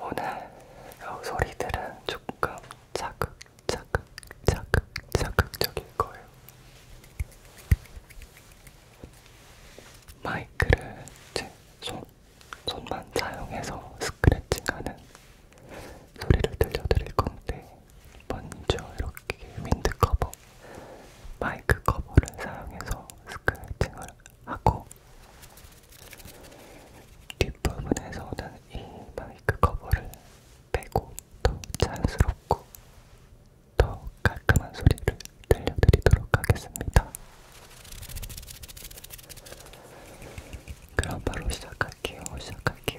오늘 요 소리들은 조금 자극, 자극, 자극, 자극적일 거예요. 마이크를 제 손, 손만 사용해서 스크래칭하는 소리를 들려드릴 건데, 먼저 이렇게 윈드커버 마이크 커버를 사용해서 스크래팅을 하고 뒷부분에서는 이 마이크 커버를 빼고 더 자연스럽고 더 깔끔한 소리를 들려드리도록 하겠습니다. 그럼 바로 시작할게요. 시작할게요.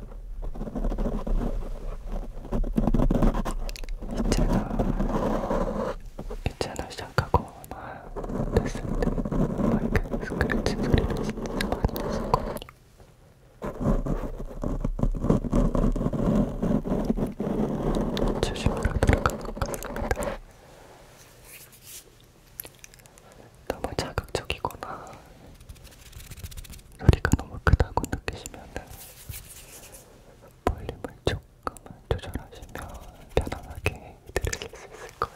이 채널, 이 채널 시작하고 얼마 됐을 때 마이크 스크래치 소리를 진짜 많이 냈었거든요. 조심으로 들어간 것 같습니다. 너무 자극적이거나 소리가 너무 크다고 느끼시면 볼륨을 조금만 조절하시면 편안하게 들으실 수 있을 거예요.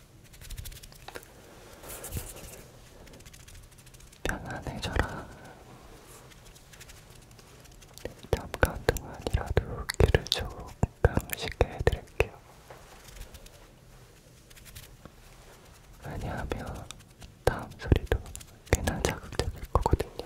편안해져라. 잠깐 동안이라도 귀를 조금 쉽게 해드릴게요. 왜냐하면 다음 소리도 꽤나 자극적일 거거든요.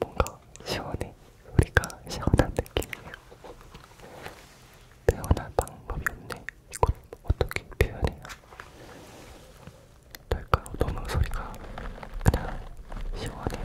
뭔가 시원해. 우리가 시원한 느낌이에요. 표현할 방법이 없네. 이걸 어떻게 표현해야 될까요? 너무 소리가 그냥 시원해요.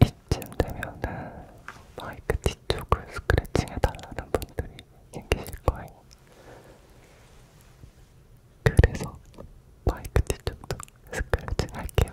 이쯤 되면은 마이크 뒤쪽을 스크래칭 해달라는 분들이 생기실 거예요. 그래서 마이크 뒤쪽도 스크래칭 할게요.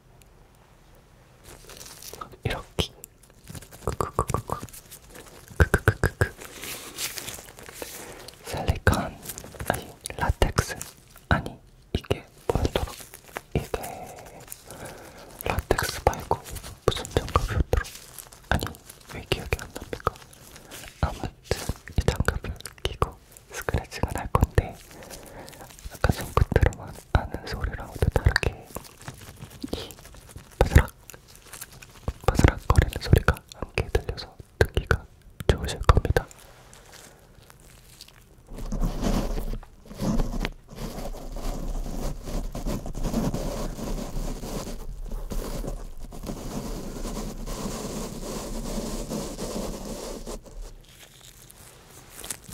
이렇게 크크크크크 크크크크크 실리콘 아니 라텍스 아니 이게 뭐였더라 이게 라텍스 말고 무슨 장갑이었더라 아니 왜 기억이 안 납니까 아무튼 이 장갑을 끼고 스크래치가 날 건데 아까 손 끝으로만 아는 소리랑도 다르게 이 바스락 바스락 거리는 소리가 함께 들려서 듣기가 좋으실 겁니다.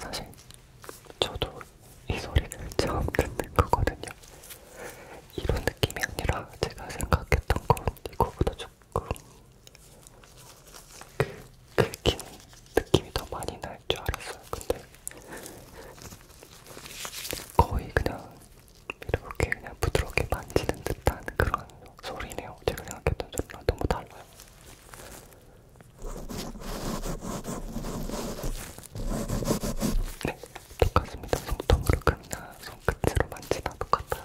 사실 저도 이 소리를 처음 듣는 거거든요. 이런 느낌이 아니라 제가 생각했던 건 이거보다 조금 그, 긁힌 느낌이 더 많이 날 줄 알았어요. 근데 거의 그냥 이렇게 그냥 부드럽게 만지는 듯한 그런 소리네요. 제가 생각했던 소리랑 너무 달라요. 네, 똑같습니다. 손톱으로 그냥 손끝으로 만지다 똑같아요.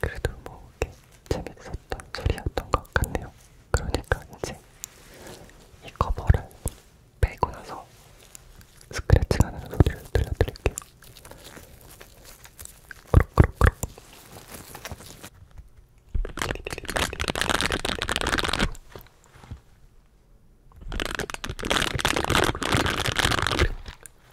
그래도 뭐 이렇게 재밌었던 소리였던 것 같네요. 그러니까 이제 이 커버를 빼고 나서 스크래치 나는 소리를 들려드릴게요. 꾸룩꾸룩꾸룩.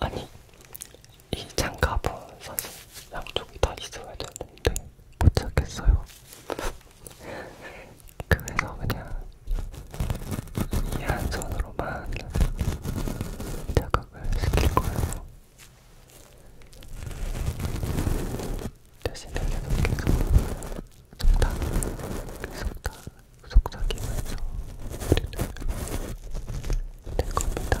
아니 이 장갑은 사실 양쪽이 다 있어야 되는데 못 찾겠어요. 그래서 그냥 이한 손으로만 자각을 시킬 거예요. 대신에 계속 계속 속다, 속다, 속삭이면서 소리를 낼 겁니다.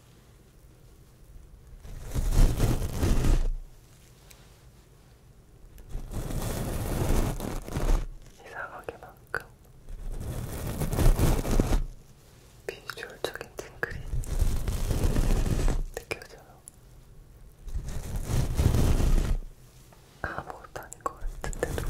이상하게만큼 비주얼적인 팅글이 느껴져요. 아무것도 아닌 것 같은데도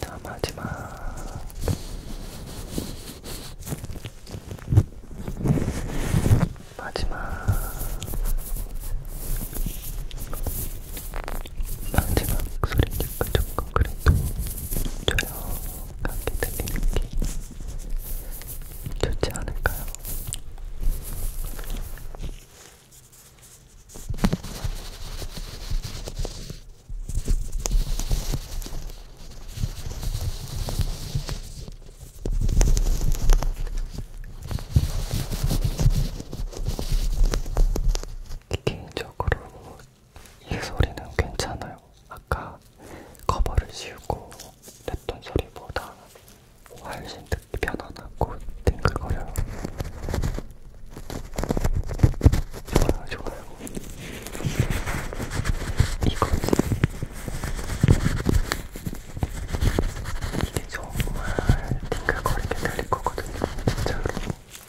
담아지마. 마지막 마지막 소리니까 조금 그래도 조용하게 들리는 게 좋지 않을까요? 개인적으로 이 소리는 괜찮아요. 아까 커버를 씌우고 냈던 소리보다 훨씬 듣기 편안하고 띵글거려요. 좋아요, 좋아요. 이거지. 이게 정말 띵글거리게 들릴 거거든요, 진짜로.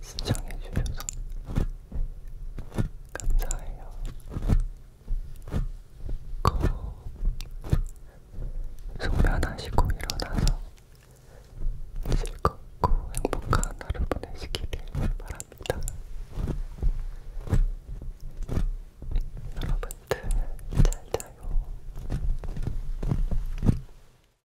시청해주셔서 감사해요. 꼭 숙면하시고 일어나서 즐겁고 행복한 하루 보내시기를 바랍니다. 여러분들 잘 자요.